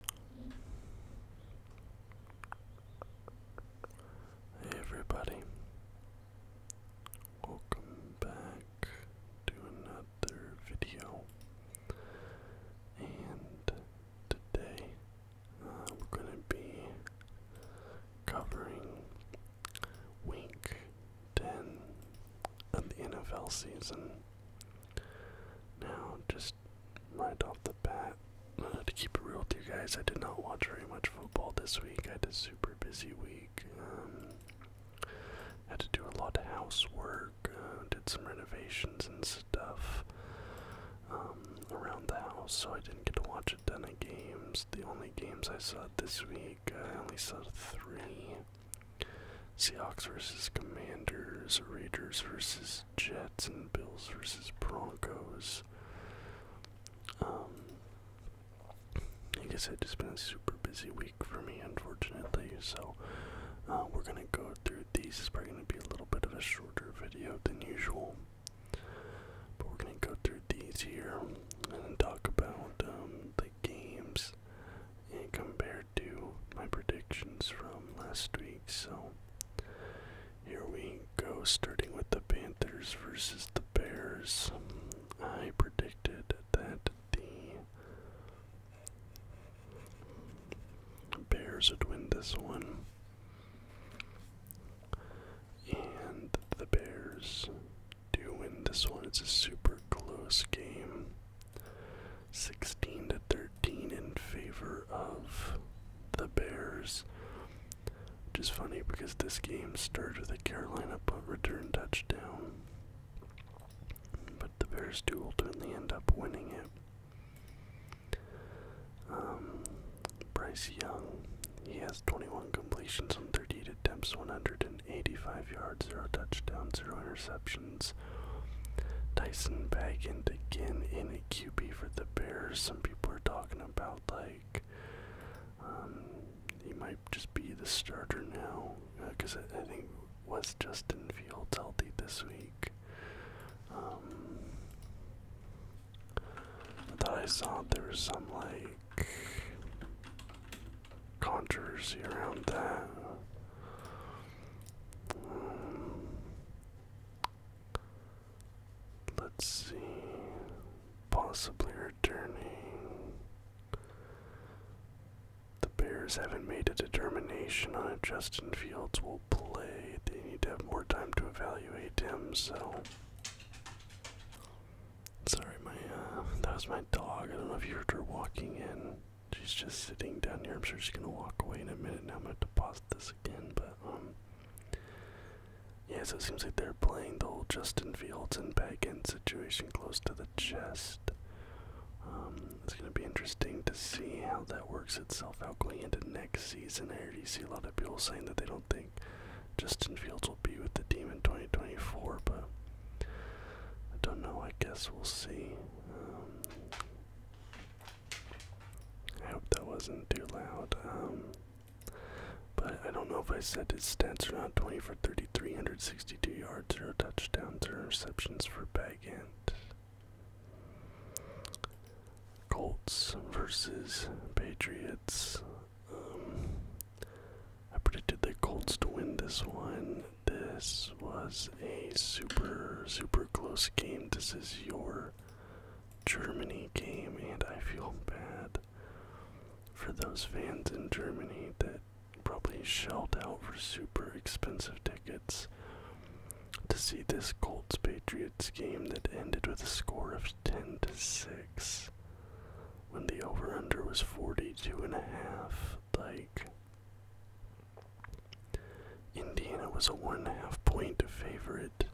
Hey everybody, welcome back to another video, and today uh, we're going to be covering Week 10 of the NFL season. Now, just right off the bat, uh, to keep it real with you guys, I did not watch very much football this week. I had a super busy week. Um, had to do a lot of housework, uh, did some renovations and stuff um, around the house, so I didn't get to watch a ton of games. The only games I saw this week, uh, I only saw three. Seahawks versus Commanders, Raiders versus Jets and Bills versus Broncos. Um, I guess it's just been a super busy week for me, unfortunately. So uh, we're gonna go through these. It's probably gonna be a little bit of a shorter video than usual, but we're gonna go through these here and talk about um, the games and compare compared my predictions from last week. So here we go, starting with the Panthers versus the Bears. I predicted that the Bears would win this one. And the Bears do win this one. It's a super close game. 16 to 13 in favor of the Bears. Which is funny because this game started with a Carolina punt return touchdown. But the Bears do ultimately end up winning it. Um, Bryce Young, he has 21 completions on 38 attempts, 185 yards, 0 touchdowns, 0 interceptions. Dyson back in again in a QB for the Bears. Some people are talking about like um, he might just be the starter now because uh, I, I think was Justin Fields healthy this week. Um, I thought I saw there was some like controversy around that. Um, Let's see. Possibly returning. The Bears haven't made a determination on if Justin Fields will play. They need to have more time to evaluate him, so. Sorry, my uh, that was my dog. I don't know if you heard her walking in. She's just sitting down here. I'm sure she's gonna walk away in a minute. Now I'm going to pause this again, but um yeah, so it seems like they're playing the whole Justin Fields and back end situation close to the chest. Um, it's gonna be interesting to see how that works itself out going into next season. I already see a lot of people saying that they don't think Justin Fields will be with the team in 2024, but I don't know. I guess we'll see. Um, I hope that wasn't too loud. Um, but I don't know if I said his stats are not 20 for 33, yards, 0 touchdowns, 0 interceptions for Bagant. Colts versus Patriots. Um, I predicted the Colts to win this one. This was a super, super close game. This is your Germany game, and I feel bad for those fans in Germany that probably shelled out for super expensive tickets to see this Colts Patriots game that ended with a score of 10 to 6 when the over under was 42 and a half like Indiana was a one and a half point favorite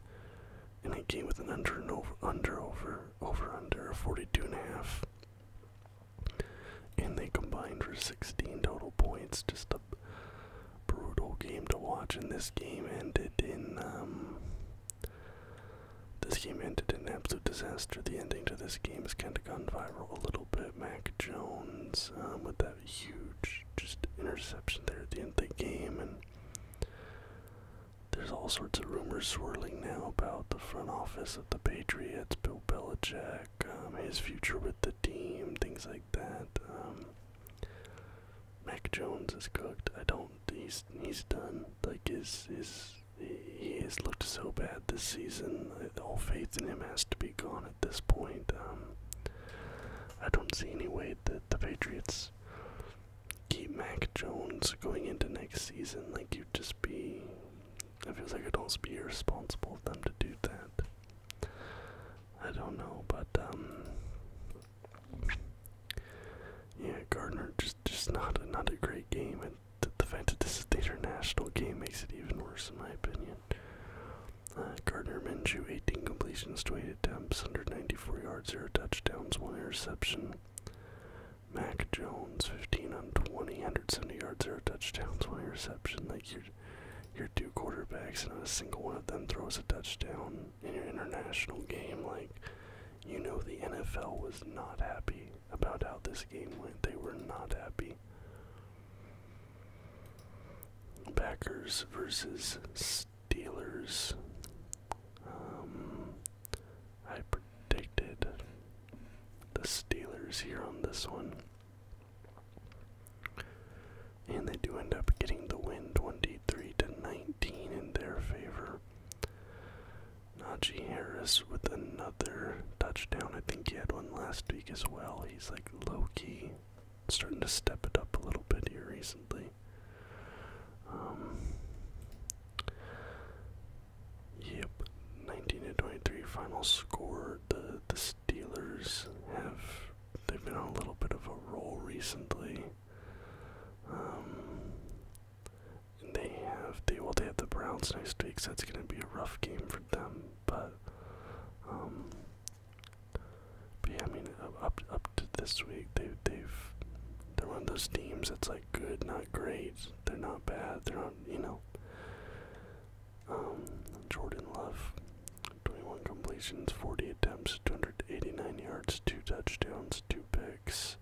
and a came with an under and over under over over under of 42 and a half. And they combined for 16 total points. Just a brutal game to watch. And this game ended in um, this game ended in absolute disaster. The ending to this game is kind of gone viral a little bit. Mac Jones um, with that that huge just interception there at the end of the game and there's all sorts of rumors swirling now about the front office of the Patriots, Bill Belichick, um, his future with the team, things like that. Um, Mac Jones is cooked. I don't. He's he's done. Like his his he has looked so bad this season. All faith in him has to be gone at this point. Um, I don't see any way that the Patriots keep Mac Jones going into next season. Like you'd just be, it feels like it'd almost be irresponsible of them to do that. I don't know, but um, yeah, Gardner just just not a, not a great game, and the fact that this is the international game makes it even worse in my opinion. Uh, Gardner Minshew, 18 completions, 28 attempts, 194 yards, 0 touchdowns, 1 interception. Mac Jones, 15 on 20, 170 yards, 0 touchdowns, 1 interception. Like your, your two quarterbacks, and not a single one of them throws a touchdown in your international game. Like, you know, the NFL was not happy about how this game went. They were not happy. Packers versus Steelers. Um, I predicted the Steelers here on this one. And they do end up getting the win 23 to 19 in their favor. Najee Harris with another touchdown. I think he had one last week as well. He's like Loki starting to step it up a little bit here recently. Um, yep, 19 to 23 final score. The the Steelers have they've been on a little bit of a roll recently. Um, they have they well they have the Browns next week, so it's gonna be a rough game for them. But um, but yeah, I mean, up up to this week, they they've they're one of those teams that's like good, not great. They're not bad. They're on, you know. Um, Jordan Love, 21 completions, 40 attempts, 289 yards, two touchdowns, two picks.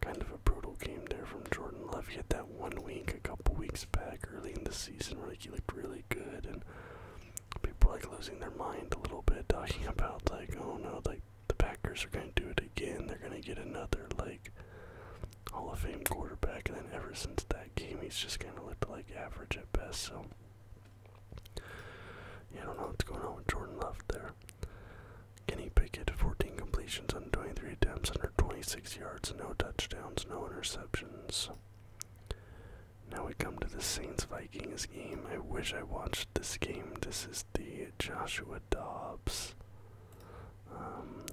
Kind of a brutal game there from Jordan Love. He had that one week a couple weeks back early in the season where like, he looked really good and people like losing their mind a little bit, talking about like, oh no, like the Packers are gonna do it again. They're gonna get another like Hall of Fame quarterback, and then ever since that game, he's just kind of looked like average at best. So yeah, I don't know what's going on with Jordan Love there. Kenny Pickett, 14 completions on 23 attempts, under 26 yards, no touchdowns, no interceptions. Now we come to the Saints Vikings game. I wish I watched this game. This is the Joshua Dobbs. Um,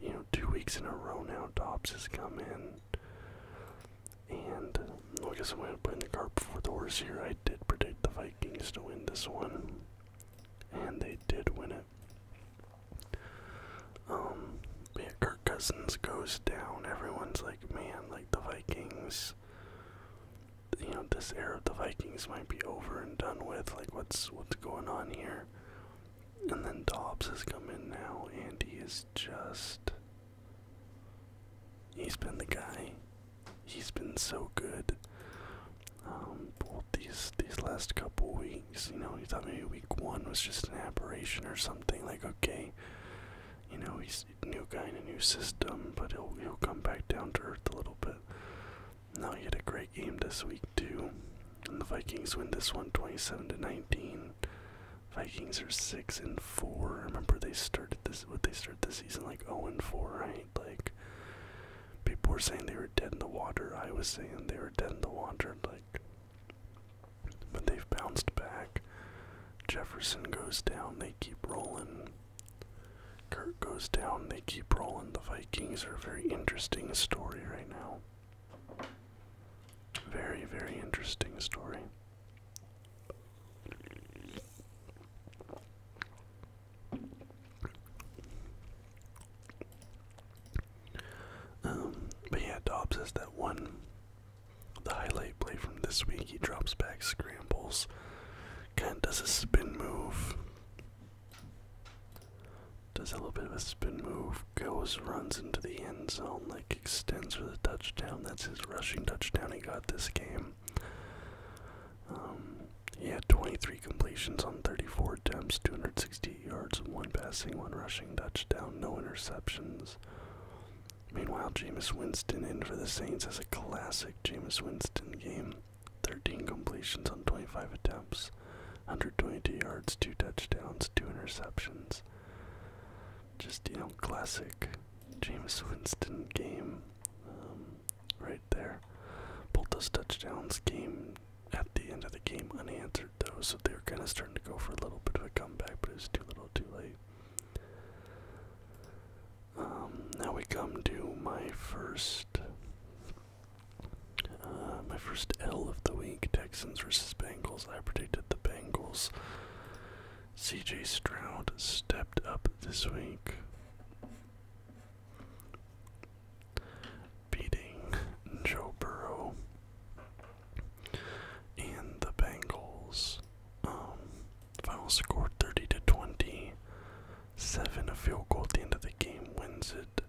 you know, two weeks in a row now, Dobbs has come in. And I guess I'm going to put in the cart before the horse here. I did predict the Vikings to win this one. And they did win it. Um, yeah, Kirk Cousins goes down. Everyone's like, man, like, the Vikings. You know, this era of the Vikings might be over and done with. Like, what's what's going on here? And then Dobbs has come in now, and he is just. He's been the guy. He's been so good. Um, both these these last couple weeks, you know, he thought maybe week one was just an aberration or something. Like, okay, you know, he's new guy in a new system, but he'll he'll come back down to earth a little bit. Now he had a great game this week too. And the Vikings win this one 27 to 19. Vikings are six and four. Remember they started this what they started the season like 0 and 4, right? Like people were saying they were dead in the water. I was saying they were dead in the water. Like but they've bounced back. Jefferson goes down, they keep rolling. Kurt goes down, they keep rolling. The Vikings are a very interesting story right now. Very, very interesting story. Um, but yeah, Dobbs has that one the highlight play from this week, he drops back, scrambles, kind does a spin move, does a little bit of a spin move, goes, runs into the end zone, like extends for the touchdown. That's his rushing touchdown he got this game. Um, he had 23 completions on 34 attempts, two hundred sixty yards, one passing, one rushing touchdown, no interceptions. Meanwhile, Jameis Winston in for the Saints as a classic Jameis Winston game. 13 completions on 25 attempts, 122 yards, 2 touchdowns, 2 interceptions. Just, you know, classic Jameis Winston game um, right there. Both those touchdowns came at the end of the game unanswered, though, so they are kind of starting to go for a little bit of a comeback, but it's too little too late. Um, now we come to my first, uh, my first L of the week: Texans versus Bengals. I predicted the Bengals. C.J. Stroud stepped up this week, beating Joe Burrow and the Bengals um, final score 30 to twenty-seven. a field goal at the end of the game wins it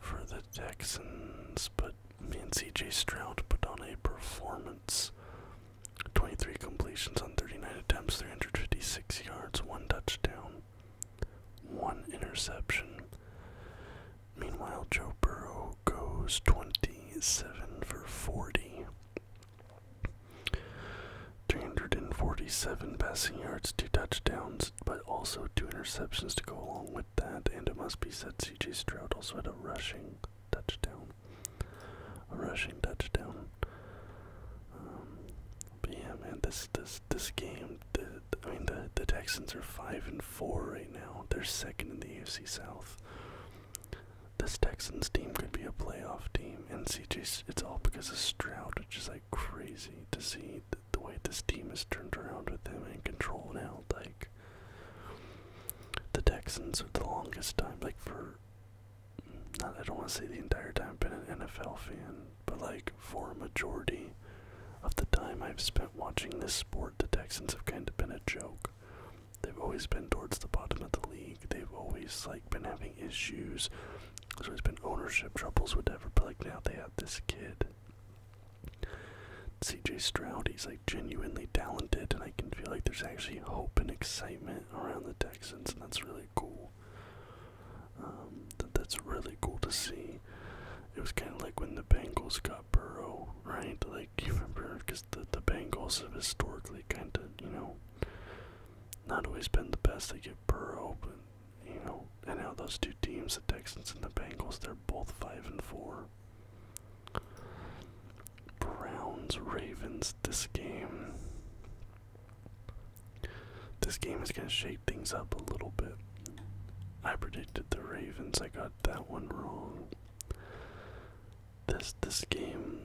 for the Texans, but man, CJ Stroud put on a performance. 23 completions on 39 attempts, 356 yards, one touchdown, one interception. Meanwhile, Joe Burrow goes 27 for 40 347 passing yards, two touchdowns, but also two interceptions to go along with that. And it must be said, CJ Stroud also had a rushing touchdown. A rushing touchdown. Um, but yeah, man, this this this game. I mean, the the Texans are five and four right now. They're second in the AFC South. This Texans team could be a playoff team, and CJ's. It's all because of Stroud, which is like crazy to see the, way this team has turned around with him in control now. Like the Texans, for the longest time, like for I don't want to say the entire time I've been an NFL fan, but like for a majority of the time I've spent watching this sport, the Texans have kind of been a joke. They've always been towards the bottom of the league. They've always like been having issues. There's always been ownership troubles, whatever. But like now they have this kid, C.J. Stroud. He's like genuinely talented, and I can feel like there's actually hope and excitement around the Texans, and that's really cool. Um, that that's really cool to see. It was kind of like when the Bengals got Burrow, right? Like you remember because the the Bengals have historically kind of you know not always been the best. They get Burrow, but you know, and now those two teams, the Texans and the Bengals, they're both five and four. Browns Ravens. This game. This game is gonna shake things up a little bit. I predicted the Ravens. I got that one wrong this this game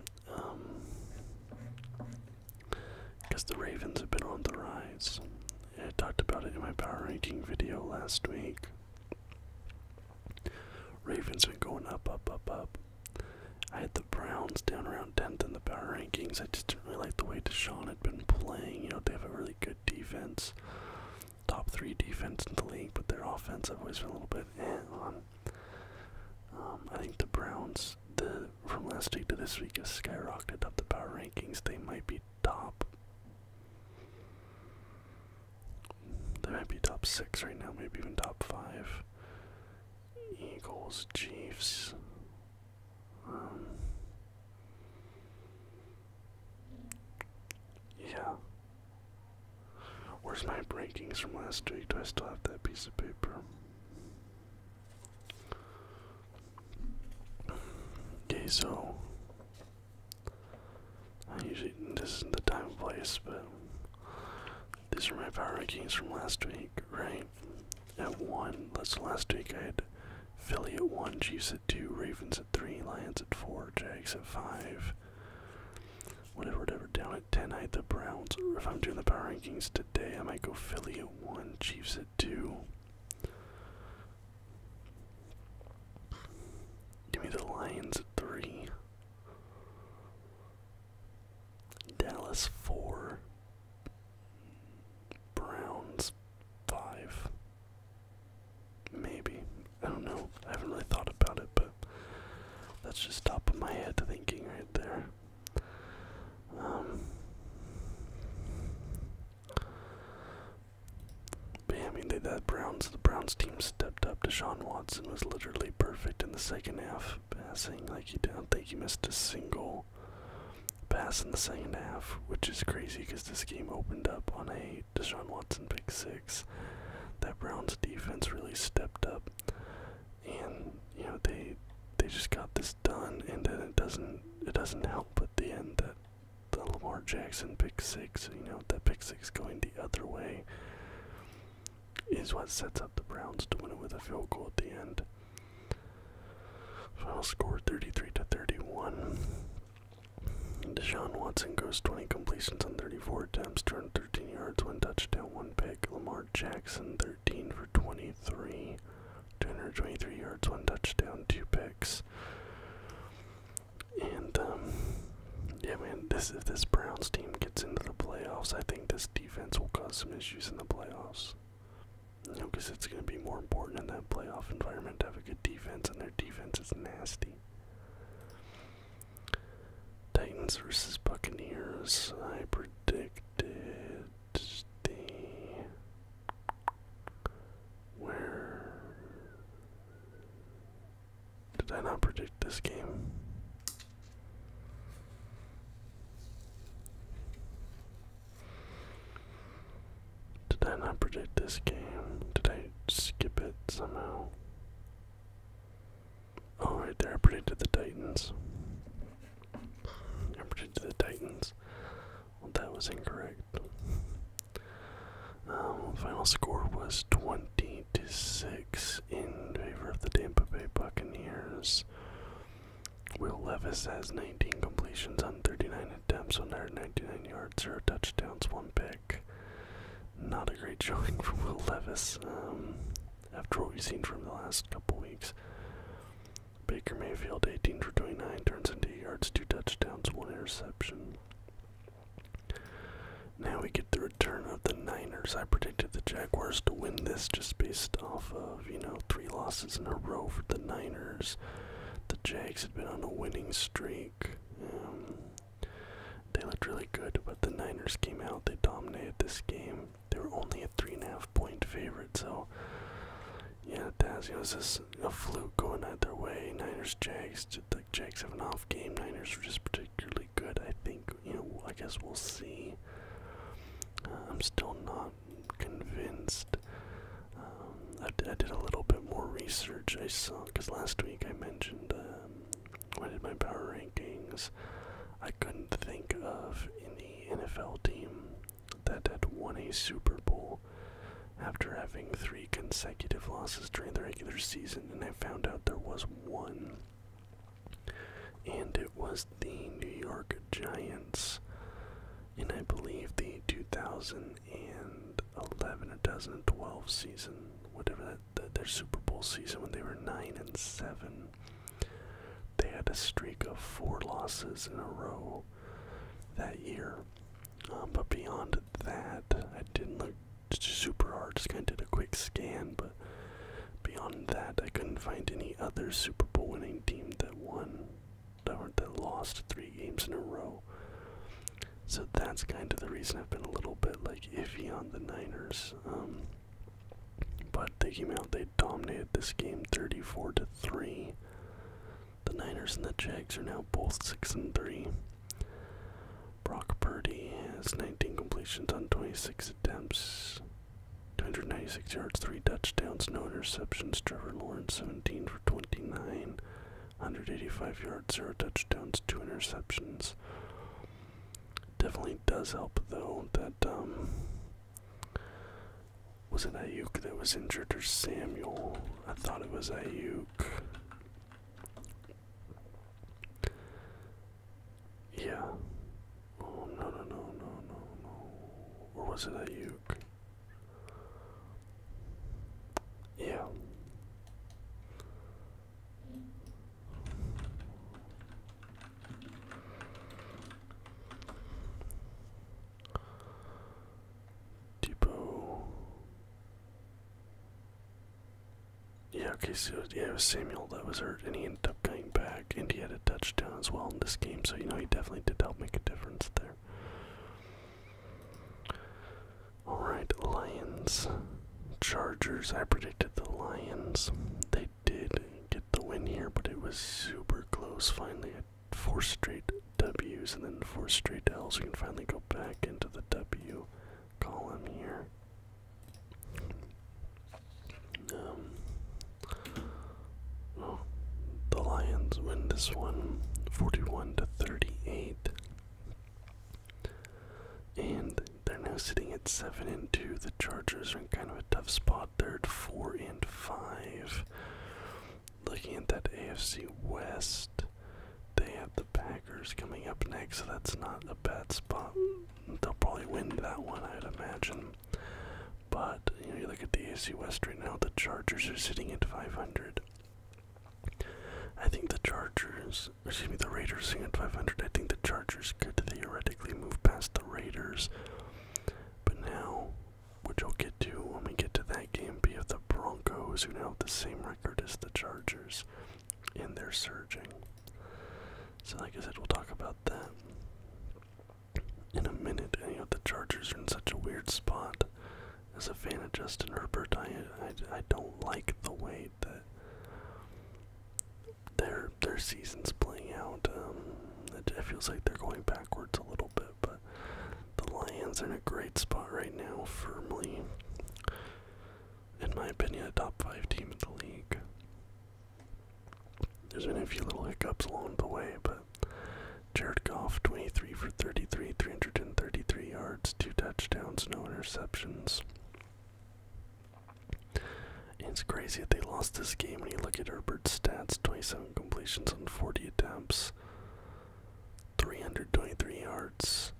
because um, the Ravens have been on the rise. I talked about it in my power ranking video last week. Ravens been going up, up, up, up. I had the Browns down around 10th in the power rankings. I just didn't really like the way Deshaun had been playing. You know, they have a really good defense, top three defense in the league, but their offense I've always been a little bit eh on. Um, I think the Browns, the from last week to this week, has skyrocketed up the power rankings. They might be top. They might be top six right now, maybe even top five. Eagles, Chiefs. Um, yeah, Where's my rankings from last week? Do I still have that piece of paper? Okay, so I usually this isn't the time and place, but these are my power rankings from last week, right? At one, that's last week I had Philly at one, Chiefs at two, Ravens at three, Lions at four, Jags at five, Whatever, whatever. Down at 10, I had the Browns. if I'm doing the power rankings today, I might go Philly at 1, Chiefs at 2. Give me the Lions at 3. Dallas 4. Browns 5. Maybe. I don't know. I haven't really thought about it, but that's just top of my head thinking right there. Um, I mean, that Browns, the Browns team stepped up. Deshaun Watson was literally perfect in the second half, passing like he don't think he missed a single pass in the second half, which is crazy because this game opened up on a Deshaun Watson pick six. That Browns defense really stepped up and you know they they just got this done, and then it doesn't it doesn't help at the end that the Lamar Jackson pick six, you know that pick six going the other way is what sets up the Browns to win it with a field goal at the end. Final score 33 to 31. Deshaun Watson goes 20 completions on 34 attempts, Thirteen yards, one touchdown, one pick. Lamar Jackson, 13 for 23, 223 yards, one touchdown, two picks. And um, yeah, man, this if this Browns team gets into the playoffs, I think this defense will cause some issues in the playoffs. You know, because it's going to be more important in that playoff environment to have a good defense, and their defense is nasty. Titans versus Buccaneers. I predicted the where did I not predict this game? Did I not predict this game? Did I skip it somehow? All oh, right, there I predicted the Titans. I predicted the Titans. Well, that was incorrect. Um, final score was twenty to six in favor of the Tampa Bay Buccaneers. Will Levis has 19 completions on 39 attempts, 199 yards, zero touchdowns, one pick. Not a great showing for Will Levis. Um, after what we've seen from the last couple weeks. Baker Mayfield, 18 for 29, turns into yards, two touchdowns, one interception. Now we get the return of the Niners. I predicted the Jaguars to win this just based off of, you know, three losses in a row for the Niners. The Jags had been on a winning streak. Um, they looked really good, but the Niners came out. They dominated this game they were only a three and a half point favorite. So yeah, Taz, you know, is this a fluke going either way? Niners, Jags, just Jags have an off game. Niners are just particularly good. I think you know. I guess we'll see. Uh, I'm still not convinced. Um, I, did a little bit more research. I saw because last week I mentioned um, what did my power rankings? I couldn't think of any NFL team that had won a Super Bowl after having three consecutive losses during the regular season, and I found out there was one. And it was the New York Giants and I believe, the 2011 or 2012 season, whatever that their Super Bowl season when they were nine and seven. They had a streak of four losses in a row that year. Um, but beyond that, I didn't look super hard. Just kind of did a quick scan, but beyond that, I couldn't find any other Super Bowl winning team that won or that lost three games in a row. So that's kind of the reason I've been a little bit like iffy on the Niners. Um, but they came out, they dominated this game 34 to 3. The Niners and the Jags are now both 6 and 3. Brock Purdy has 19 completions on 26 attempts, 296 yards, 3 touchdowns, no interceptions. Trevor Lawrence 17 for 29, 185 yards, 0 touchdowns, 2 interceptions. Definitely does help though that um was it Ayuk that was injured or Samuel? I thought it was Ayuk. Yeah. Oh no no no no no no. Or was it Ayuk? Yeah. Debo. Yeah, okay, so yeah, it was Samuel that was hurt, and he ended up coming back, and he had a touchdown as well in this game, so you know he definitely did help make a difference there. Alright, Lions. Chargers. I predicted the Lions. They did get the win here, but it was super close. Finally, I four straight W's and then four straight L's. We can finally go back into the W column here. Um, oh, the Lions win this one 41 to 38. And they're now sitting at seven and two. The Chargers are in kind of a tough spot. They're at four and five. Looking at that AFC West, they have the Packers coming up next, so that's not a bad spot. They'll probably win that one, I'd imagine. But you look at the AFC West right now. The Chargers are sitting at 500. I think the Chargers, excuse me, the Raiders are sitting at 500. I think the Chargers Chargers could theoretically move past the Raiders. But now, which I'll get to when we get to that game, be of the Broncos, who now have the same record as the Chargers, and they're surging. So, like I said, we'll talk about that in a minute. And, you know, the Chargers are in such a weird spot. As a fan of Justin Herbert, I, I, don't like the way but their their season's playing out. Um, it, feels like they're going backwards a little bit, but the Lions are in a great spot right now, firmly, in my opinion, top five team in the league. There's been a few little hiccups along the way, but Jared Goff, 23 for 33, 333 yards, two touchdowns, no interceptions. It's crazy that they lost this game when you look at Herbert's stats 27 completions on 40 attempts, 323 yards,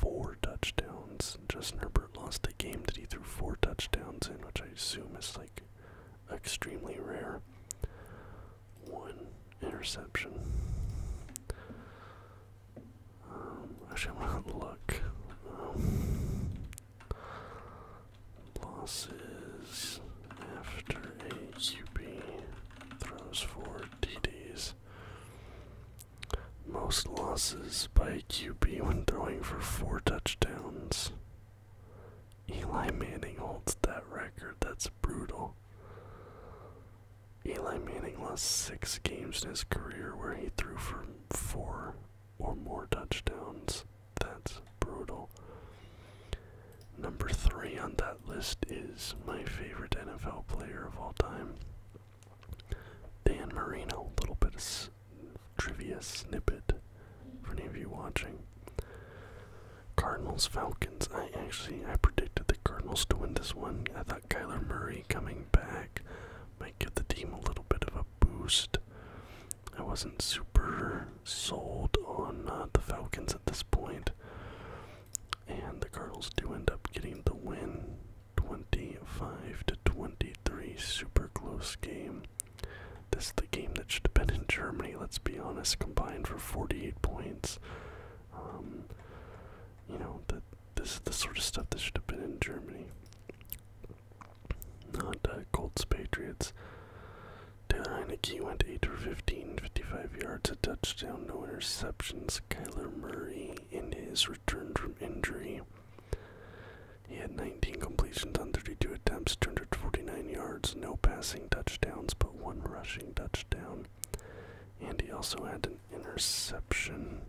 4 touchdowns. Justin Herbert lost a game that he threw 4 touchdowns in, which I assume is like extremely rare. One interception. Um, actually, I'm gonna look. Um, Losses after a QB throws for TDs. Most losses by a QB when throwing for four touchdowns. Eli Manning holds that record. That's brutal. Eli Manning lost six games in his career where he threw for four or more touchdowns. That's brutal. Number three on that list is my favorite NFL player of all time, Dan Marino. little bit of trivia snippet for any of you watching. Cardinals Falcons. I actually I predicted the Cardinals to win this one. I thought Kyler Murray coming back might give the team a little bit of a boost. I wasn't super sold on uh, the Falcons at this point, and the Cardinals do end up getting the win, 25 to 23, super close game. This is the game that should have been in Germany. Let's be honest, combined for 48 points. Um, you know that this is the sort of stuff that should have been in Germany. Not uh, Colts Patriots. Taylor went 8 for 15, 55 yards, a touchdown, no interceptions. Kyler Murray, in his return from injury, he had 19 completions on 32 attempts, 249 yards, no passing touchdowns, but one rushing touchdown. And he also had an interception.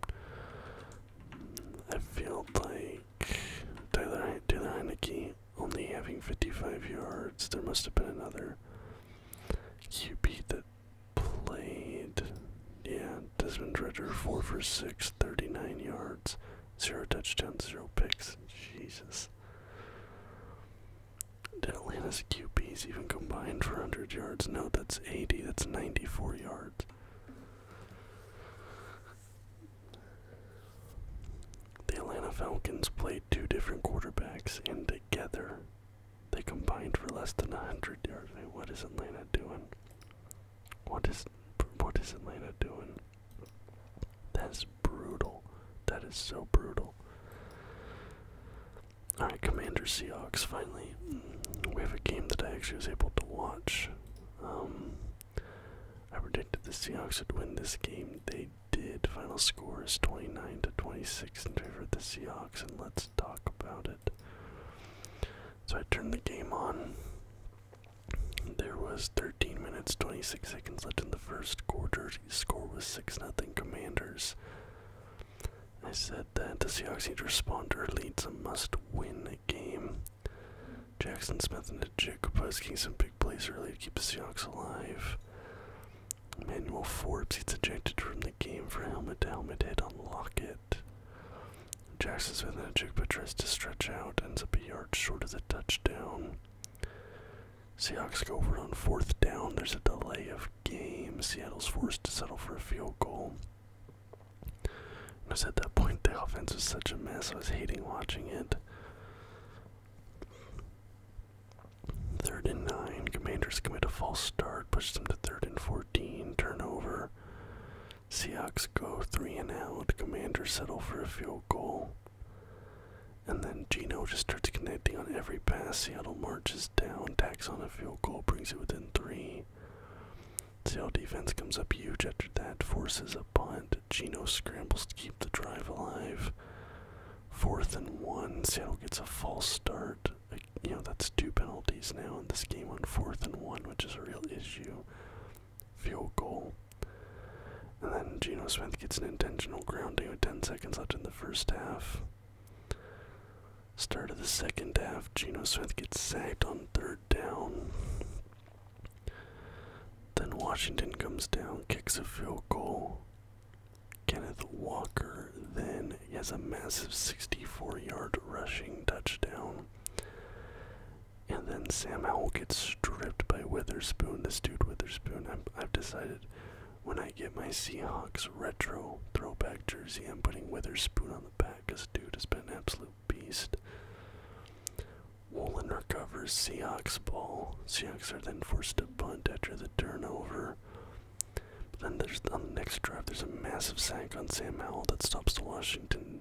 I feel like Tyler Heineke only having 55 yards. There must have been another QB that played. Yeah, Desmond Ritter, 4 for 6, 39 yards, 0 touchdowns, 0 picks. Jesus. Did QBs even combined for yards? No, that's 80, that's 94 yards. The Atlanta Falcons played two different quarterbacks, and together they combined for less than 100 yards. What is Atlanta doing? What is what is Atlanta doing? That's brutal. That is so brutal. All right, Commander Seahawks. Finally, we have a game that I actually was able to watch. Um, I predicted the Seahawks would win this game. They did. Final score is 29 to 26 in favor of the Seahawks, and let's talk about it. So I turned the game on. There was 13 minutes 26 seconds left in the first quarter. The score was 6 0 Commanders. I said that the Seahawks need to respond early. It's a must win game. Jackson Smith and Jacob getting some big plays early to keep the Seahawks alive. Emmanuel Forbes gets ejected from the game for helmet to helmet hit on Lockett. Jackson Smith and Jacob tries to stretch out, ends up a yard short of the touchdown. Seahawks go over on fourth down. There's a delay of game. Seattle's forced to settle for a field goal. Because at that point, the offense was such a mess, I was hating watching it. Third and nine, Commanders commit a false start, pushes them to third and 14, turnover. Seahawks go three and out, Commanders settle for a field goal. And then Gino just starts connecting on every pass. Seattle marches down, tacks on a field goal, brings it within three. Seattle defense comes up huge after that, forces the Gino scrambles to keep the drive alive. Fourth and one. Seattle gets a false start. Uh, you know, that's two penalties now in this game on fourth and one, which is a real issue. Field goal. And then Gino Smith gets an intentional grounding with 10 seconds left in the first half. Start of the second half, Gino Smith gets sacked on third down. Then Washington comes down, kicks a field goal. Kenneth Walker then has a massive 64 yard rushing touchdown. And then Sam Howell gets stripped by Witherspoon. This dude, Witherspoon, i have decided when I get my Seahawks retro throwback jersey, I'm putting Witherspoon on the back because dude has been absolute absolute beast. Woolen recovers Seahawks ball. Seahawks are then forced to bunt after the turnover. then there's on the next drive there's a massive sack on Sam Howell that stops the Washington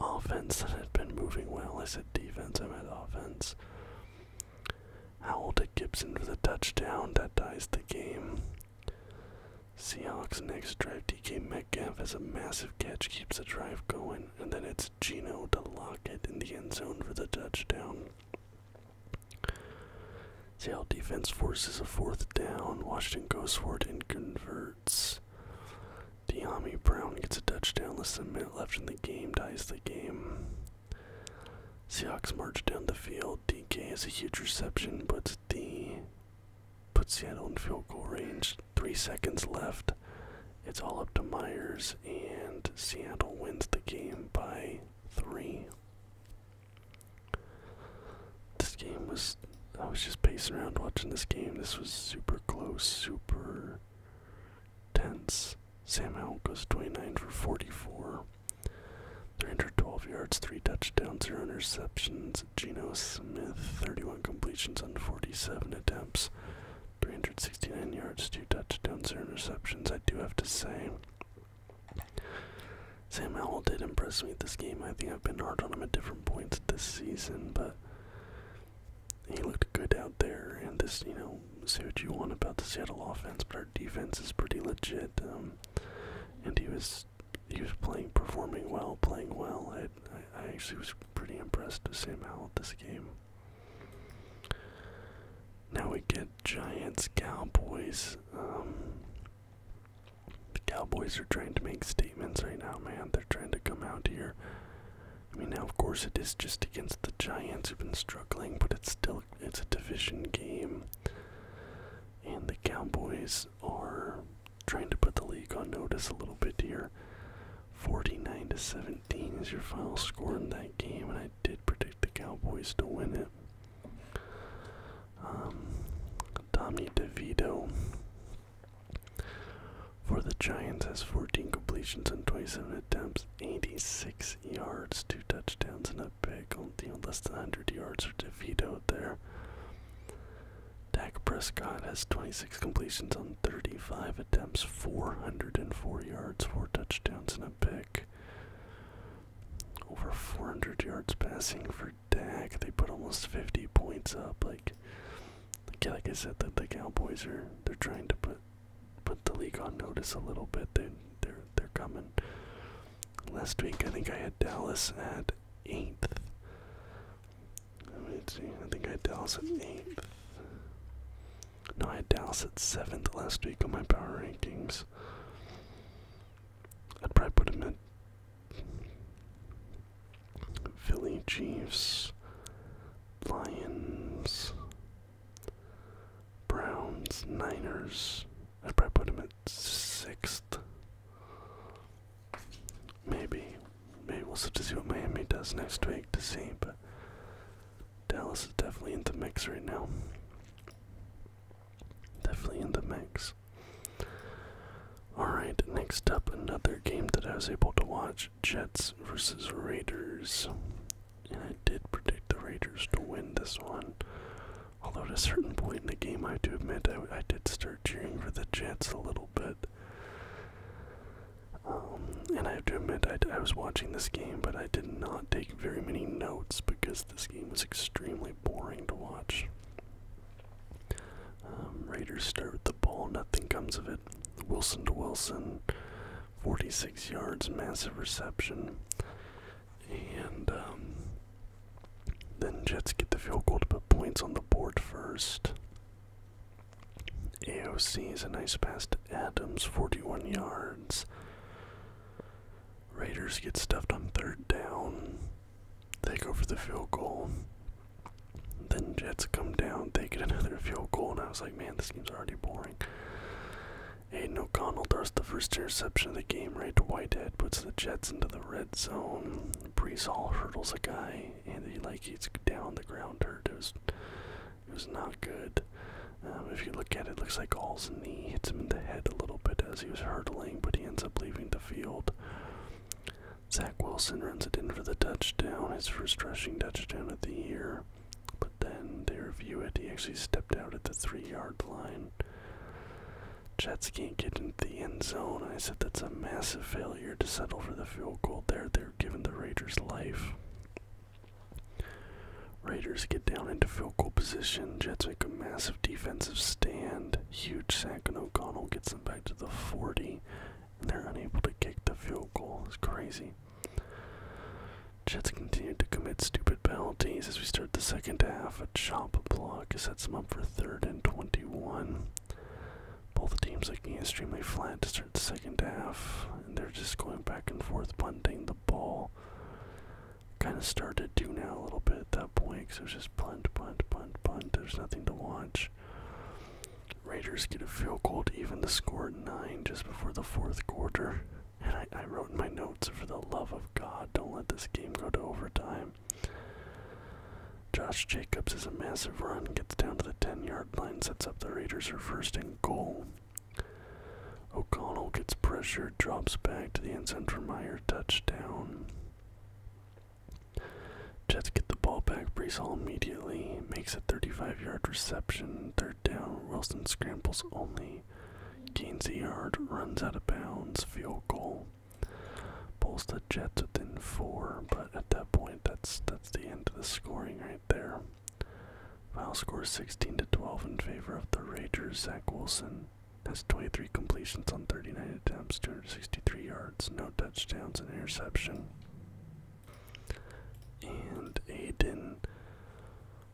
offense that had been moving well. I said defense, I meant offense. Howell to Gibson for the touchdown that ties the game. Seahawks next drive DK Metcalf has a massive catch, keeps the drive going, and then it's Gino to lock it in the end zone for the touchdown. Seattle defense forces a fourth down. Washington goes for it and converts. Deami Brown gets a touchdown, less than a minute left in the game, ties the game. Seahawks march down the field. DK has a huge reception, puts the puts Seattle on field goal range three seconds left. It's all up to Myers, and Seattle wins the game by three. This game was. I was just pacing around watching this game. This was super close, super tense. Sam Howell goes 29 for 44. 312 yards, 3 touchdowns, 0 interceptions. Geno Smith, 31 completions on 47 attempts. 369 yards, 2 touchdowns, 0 interceptions. I do have to say, Sam Howell did impress me this game. I think I've been hard on him at different points this season, but he looked good out there. And just you know, say what you want about the Seattle offense, but our defense is pretty legit. Um, and he was he was playing, performing well, playing well. I I, actually was pretty impressed with Sam Howell at this game. Now we get Giants Cowboys. Um, the Cowboys are trying to make statements right now, man. They're trying to come out here. I mean, now of course it is just against the Giants who've been struggling, but it's still it's a division game, and the Cowboys are trying to put the league on notice a little bit here. 49 to 17 is your final score in that game, and I did predict the Cowboys to win it. Um, Tommy DeVito for the Giants has 14 completions and 27 attempts, 86 yards, two touchdowns, and a pick. On deal less than 100 yards for DeVito there. Dak Prescott has twenty-six six completions on 35 attempts, 404 yards, four touchdowns, and a pick. Over 400 yards passing for Dak. They put almost 50 points up. Like, like I said, that the Cowboys are they're trying to put put the league on notice a little bit. They they're they're coming. Last week, I think I had Dallas at eighth. Let's see. I think I had Dallas at eighth. No, I had Dallas at seventh last week on my power rankings. I'd probably put him at Philly, Chiefs, Lions, Browns, Niners. I'd probably put him at sixth. Maybe. Maybe we'll have to see what Miami does next week to see, but Dallas is definitely in the mix right now. Definitely in the mix. Alright, next up, another game that I was able to watch Jets versus Raiders. And I did predict the Raiders to win this one. Although, at a certain point in the game, I do admit I, I did start cheering for the Jets a little bit. Um, and I have to admit, I, was watching this game, but I did not take very many notes because this game was extremely boring to watch. Um, Raiders start with the ball, nothing comes of it. Wilson to Wilson, 46 yards, massive reception. And um, then Jets get the field goal to put points on the board first. AOC is a nice pass to Adams, 41 yards. Raiders get stuffed on third down. They go for the field goal. Then Jets come down, they get another field goal, and I was like, man, this game's already boring. Aiden O'Connell throws the first interception of the game right to Whitehead, puts the Jets into the red zone. Brees Hall hurdles a guy, and he like he's down on the ground hurt. It was not good. Um, if you look at it, it looks like All's knee hits him in the head a little bit as he was hurtling, but he ends up leaving the field. Zach Wilson runs it in for the touchdown, his first rushing touchdown of the year. But then they review it. He actually stepped out at the three yard line. Jets can't get into the end zone. I said that's a massive failure to settle for the field goal there. They're giving the Raiders life. Raiders get down into field goal position. Jets make a massive defensive stand. Huge sack and O'Connell gets them back to the 40, and they're unable to kick the field goal. It's crazy. Jets continue to commit stupid penalties as we start the second half. A chop block sets them up for third and 21. Both teams looking extremely flat to start the second half, and they're just going back and forth, punting the ball. Kind of started to do now a little bit at that point, because it was just punt, punt, punt, punt. There's nothing to watch. Raiders get a field goal to even the score at 9 just before the fourth quarter. And I, wrote in my notes, for the love of God, don't let this game go to overtime. Josh Jacobs is a massive run, gets down to the 10 yard line sets up the Raiders for first and goal. O'Connell gets pressured, drops back to the end zone for Meyer, touchdown. Jets get the ball back, Brees Hall immediately makes a 35-yard reception, third down, Wilson scrambles only, gains a yard, runs out of bounds, field goal. Pulls the Jets within four, but at that point, that's that's the end of the scoring right there. Final score 16 to 12 in favor of the Raiders. Zach Wilson has 23 completions on 39 attempts, 263 yards, no touchdowns, and interception. And Aiden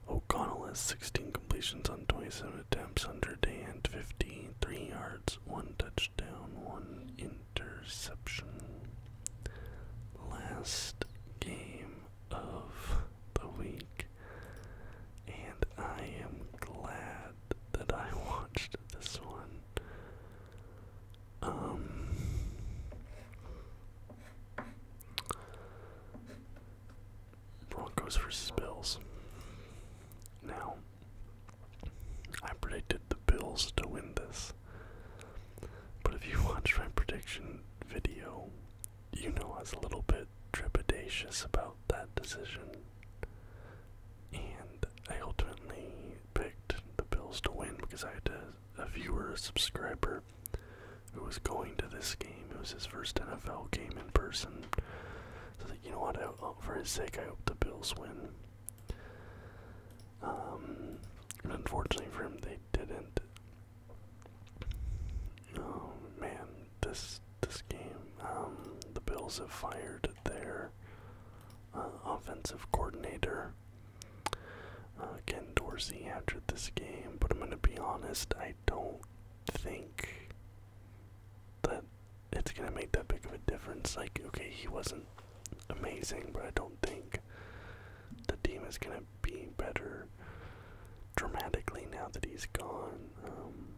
O'Connell has 16 completions on 27 attempts, 153 yards, one touchdown, one interception interception. Last game of the week, and I am glad that I watched this one. Um, Broncos versus Bills. Now, I predicted the Bills to win this. But if you watched my prediction video, you know I was a little bit trepidatious about that decision. And I ultimately picked the Bills to win because I had a, viewer, subscriber, who was going to this game. It was his first NFL game in person. So I like, you know what, oh, for his sake, I hope the Bills win. Um, unfortunately for him, they didn't. Oh, man, this this game. Um, the Bills have fired their uh, offensive coordinator, uh, Ken Dorsey, after this game. But I'm gonna be honest, I don't think that it's gonna make that big of a difference. Like, okay, he wasn't amazing, but I don't think the team is gonna be better dramatically now that he's gone. Um,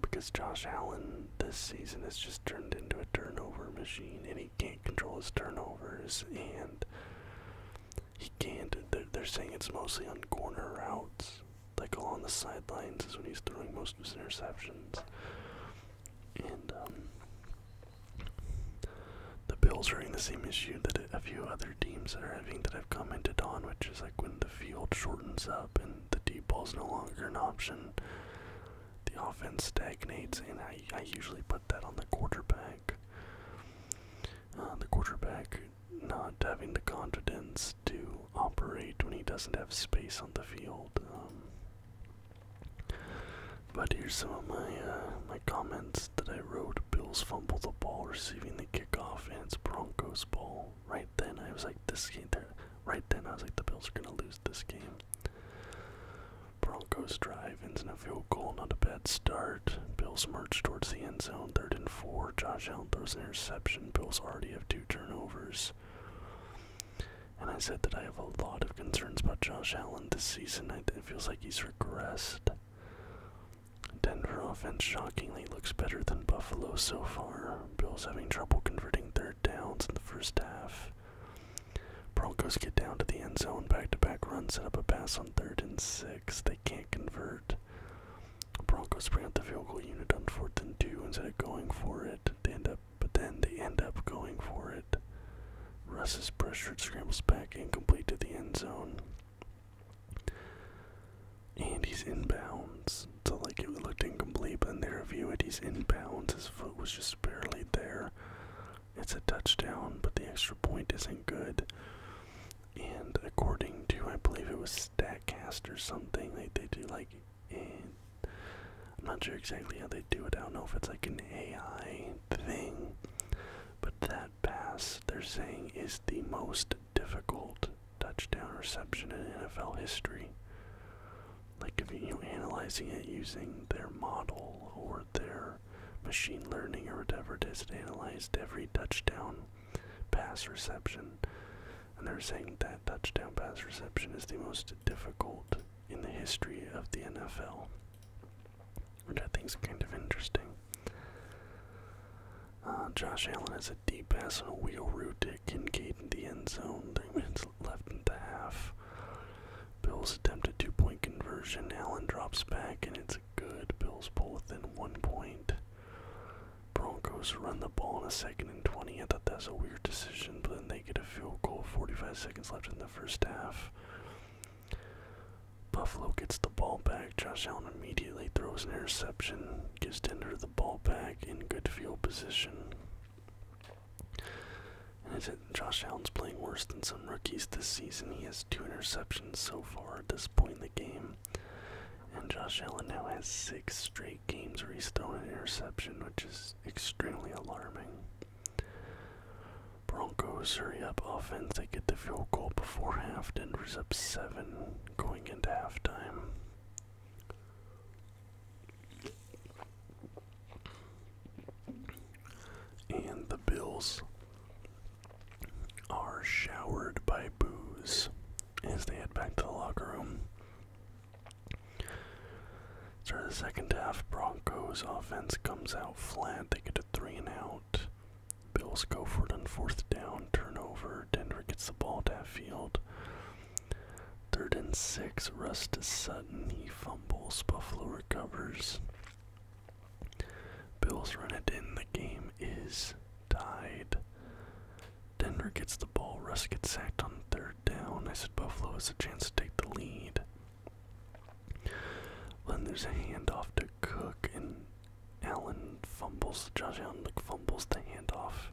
because Josh Allen this season has just turned into a turnover machine, and he can't control his turnovers, and he can't. They're, they're saying it's mostly on corner routes, like on the sidelines, is when he's throwing most of his interceptions. And um, the Bills are in the same issue that a few other teams are having that I've commented on, which is like when the field shortens up and the deep ball is no longer an option, the offense stagnates, and I, I usually put that on the quarterback. Uh, the quarterback not having the confidence to operate when he doesn't have space on the field. Um, but here's some of my uh, my comments that I wrote. Bills fumble the ball, receiving the kickoff, and it's Broncos ball. Right then, I was like, this game. Right then, I was like, the Bills are gonna lose this game. Broncos drive ends in a field goal, not a bad start. Bills march towards the end zone, third and four. Josh Allen throws an interception. Bills already have two turnovers. And I said that I have a lot of concerns about Josh Allen this season. It feels like he's regressed. Denver offense shockingly looks better than Buffalo so far. Bills having trouble converting third downs in the first half. Broncos get down to the end zone, back to back run, set up a pass on third and six. They can't convert. Broncos bring out the field goal unit on fourth and two instead of going for it. They end up, but then they end up going for it. Russ's is pressured, scrambles back, incomplete to the end zone. And he's inbounds. So, like, it looked incomplete, but in their view, it he's inbounds. His foot was just barely there. It's a touchdown, but the extra point isn't good. And according to, I believe it was StatCast or something, like they do like, I'm not sure exactly how they do it. I don't know if it's like an AI thing, but that pass they're saying is the most difficult touchdown reception in NFL history. Like if you are analyzing it using their model or their machine learning or whatever they've analyzed every touchdown pass reception. And they're saying that touchdown pass reception is the most difficult in the history of the NFL which I think is kind of interesting. Uh, Josh Allen has a deep pass and a wheel route to Kincaid in the end zone. Three minutes left in the half. Bills attempt a two point conversion. Allen drops back and it's a good. Bills pull within one point. Broncos run the ball in a second and 20. I thought that was a weird decision, but then they get a field goal 45 seconds left in the first half. Buffalo gets the ball back. Josh Allen immediately throws an interception, gives Denver the ball back in good field position. And is Josh Allen's playing worse than some rookies this season? He has two interceptions so far at this point in the game. And Josh Allen now has six straight games where he's thrown an interception, which is extremely alarming. Broncos hurry up offense. They get the field goal before half. Denver's up seven going into halftime. And the Bills are showered by booze as they head back to the locker room. Start the second half, Broncos offense comes out flat. They get a three and out. Bills go for it on fourth down, turnover. Denver gets the ball to field. Third and six, Russ to Sutton. He fumbles. Buffalo recovers. Bills run it in. The game is tied. Denver gets the ball. Russ gets sacked on third down. I said Buffalo has a chance to take the lead. Then there's a handoff to Cook, and Allen fumbles. Josh Allen fumbles the handoff.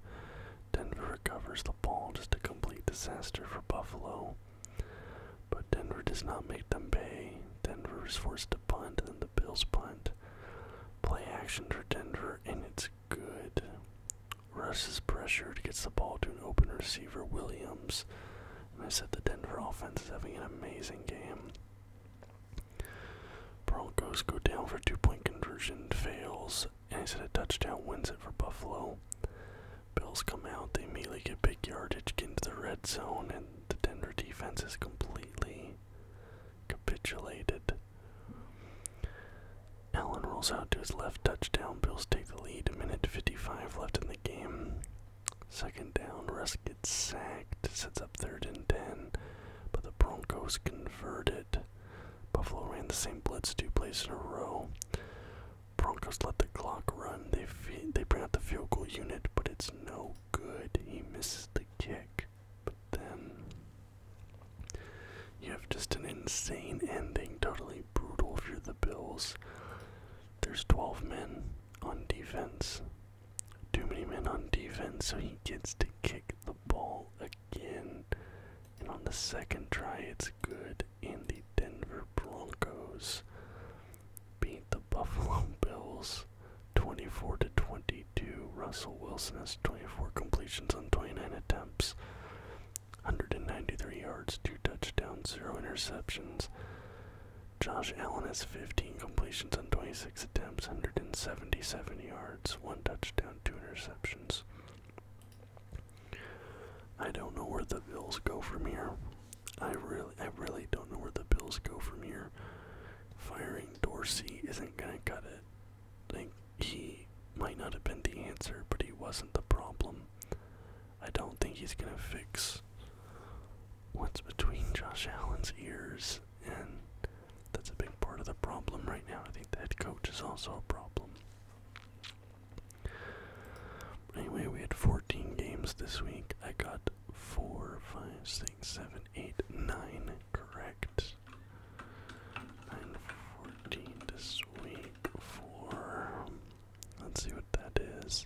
Denver recovers the ball, just a complete disaster for Buffalo. But Denver does not make them pay. Denver is forced to punt, and the Bills punt. Play action for Denver, and it's good. Russ is pressured, gets the ball to an open receiver, Williams. I said the Denver offense is having an amazing game. Broncos go down for two point conversion, fails, and instead a touchdown wins it for Buffalo. Bills come out, they immediately get big yardage, get into the red zone, and the Denver defense is completely capitulated. Allen rolls out to his left touchdown. Bills take the lead. A minute 55 left in the game. Second down, Russ gets sacked, sets up third and 10, but the Broncos converted. Buffalo ran the same blitz two plays in a row. Broncos let the clock run. They they bring out the field goal unit, but it's no good. He misses the kick. But then you have just an insane ending, totally brutal for the Bills. There's 12 men on defense. Too many men on defense, so he gets to kick the ball again. And on the second try, it's good. And the Denver Broncos beat the Buffalo Bills 24 to 22. Russell Wilson has 24 completions on 29 attempts, 193 yards, two touchdowns, zero interceptions. Josh Allen has 15 completions on 26 attempts, 177 yards, one touchdown, two interceptions. I don't know where the Bills go from here. I really, I really don't know where the Bills go from here. Firing Dorsey isn't gonna cut it. I think he might not have been the answer, but he wasn't the problem. I don't think he's gonna fix what's between Josh Allen's ears, and that's a big part of the problem right now. I think the head coach is also a problem. anyway, we had 14 games this week. I got 4, 5, 6, 7, 8, 9 correct. 9, 14 this week. 4. Let's see what that is.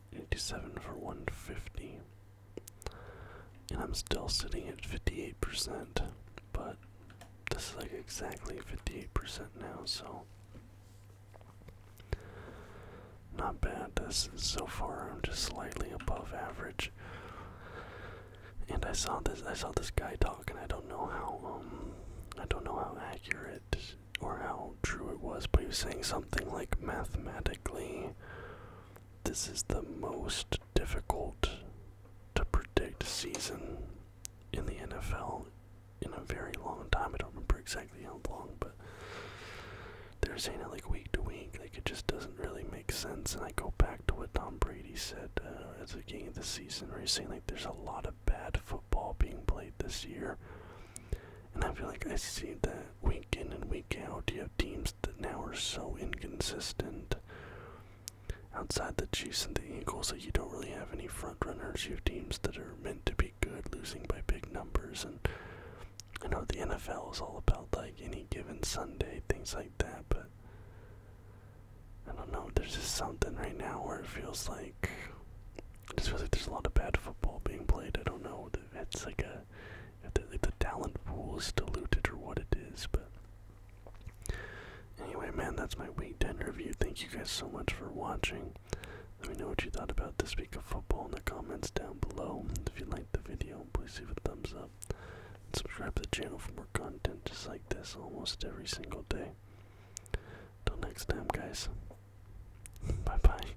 87 for 150. And I'm still sitting at 58%, but this is like exactly 58% now, so. Not bad. This is so far I'm just slightly above average. And I saw this I saw this guy talk and I don't know how um I don't know how accurate or how true it was, but he was saying something like mathematically, this is the most difficult to predict season in the NFL in a very long time. I don't remember exactly how long, but they're saying it like week to week. Like it just doesn't really make sense. And I go back to what Tom Brady said uh, at the beginning of the season, where he's saying like there's a lot of bad football being played this year. And I feel like I see that week in and week out, you have teams that now are so inconsistent. Outside the Chiefs and the Eagles, that you don't really have any front runners. You have teams that are meant to be good, losing by big numbers, and I know the NFL is all about like any given Sunday, things like that, but I don't know. There's just something right now where it feels like. It just feels like there's a lot of bad football being played. I don't know. It's like a if the, talent pool is diluted or what it is. But anyway, man, that's my week 10 review. Thank you guys so much for watching. Let me know what you thought about this week of football in the comments down below. If you liked the video, please give it a thumbs up. subscribe to the channel for more content just like this almost every single day. Till next time, guys. Bye bye.